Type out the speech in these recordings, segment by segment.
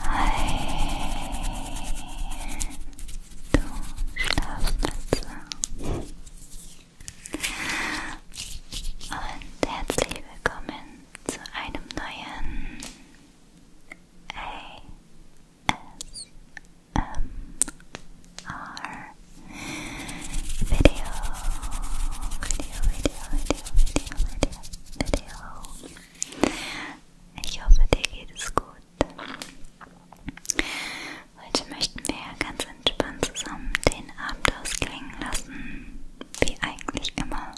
Hi, du Schlafmütze. Und herzlich willkommen zu einem neuen ASMR ASMR video, video, video, video, video, video, video. Ich hoffe, dir geht es gut. Heute möchten wir ganz entspannt zusammen den Abend ausklingen lassen, wie eigentlich immer.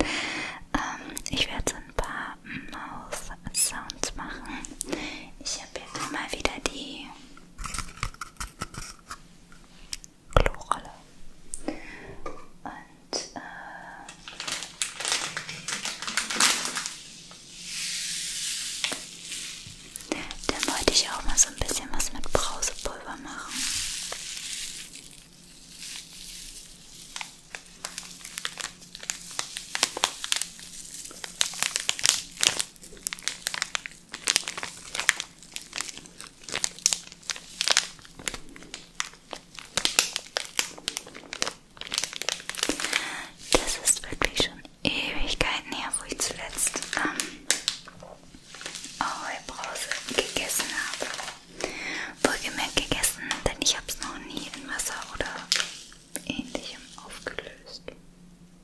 ähm, ich werde so ein paar Mouth-Sounds machen. Ich habe jetzt mal wieder die Klorolle. Und äh, dann wollte ich auch mal so ein bisschen was mit Brausepulver machen. Das ist wirklich schon Ewigkeiten her, wo ich zuletzt ähm, Brause gegessen habe. Wohlgemerkt gegessen, denn ich habe es noch nie in Wasser oder ähnlichem aufgelöst.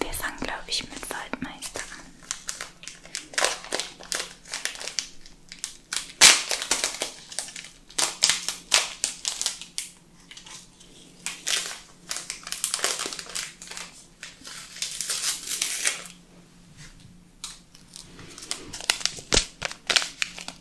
Wir fangen, glaube ich, mit Waldmeister an.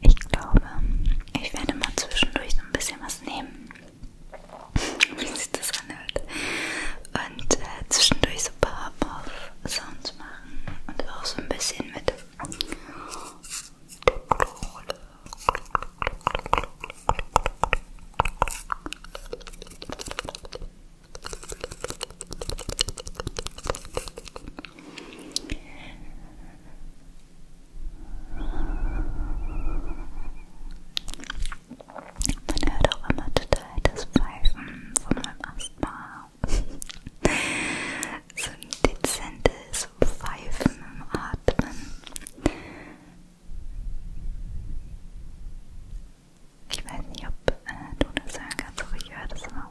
Ich glaube, ich werde mal zwischendurch so ein bisschen was nehmen, wie sich das anhört. Und äh, zwischendurch so ein paar Sounds machen und auch so ein bisschen mit man hört auch immer total das Pfeifen von meinem Asthma. so ein dezentes Pfeifen im Atmen. Ich weiß nicht, ob äh, du das hören kannst, aber ich höre das immer.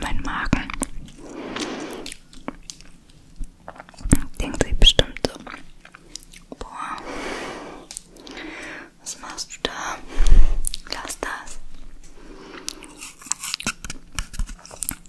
Mein Magen denkt sich bestimmt so. Boah, was machst du da? Lass das.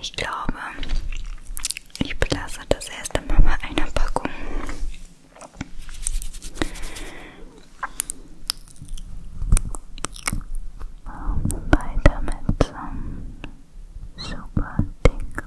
Ich glaube, ich belasse das erste Mal bei einer Packung. Weiter mit ähm, super dicken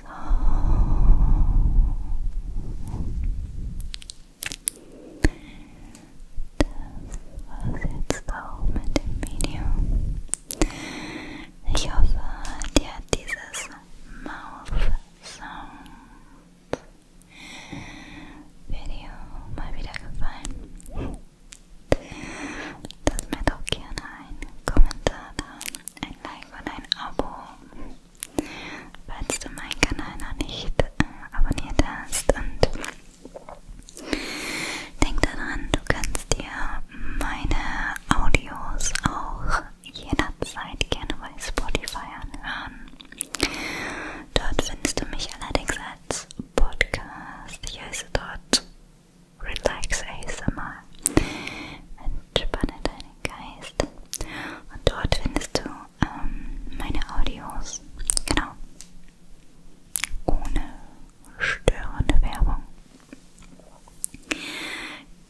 So. Das war's jetzt auch mit dem Video. Ich hoffe, dir hat dieses Mouth Sound Video mal wieder gefallen. Lass mir doch gerne einen Kommentar da, ein Like und ein Abo falls du meinen Kanal noch nicht äh, abonniert hast. Und denk daran, du kannst dir meine Audios auch jederzeit gerne bei Spotify anhören. Dort findest du mich allerdings als Podcast. Ich heiße dort Relax ASMR. Entspanne deine Geist. Und dort findest du ähm, meine Audios. Genau. Ohne störende Werbung.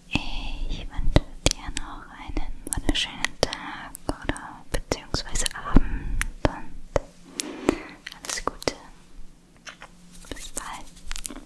Ich wünsche dir noch einen wunderschönen Tag oder beziehungsweise Abend und alles Gute. Bis bald.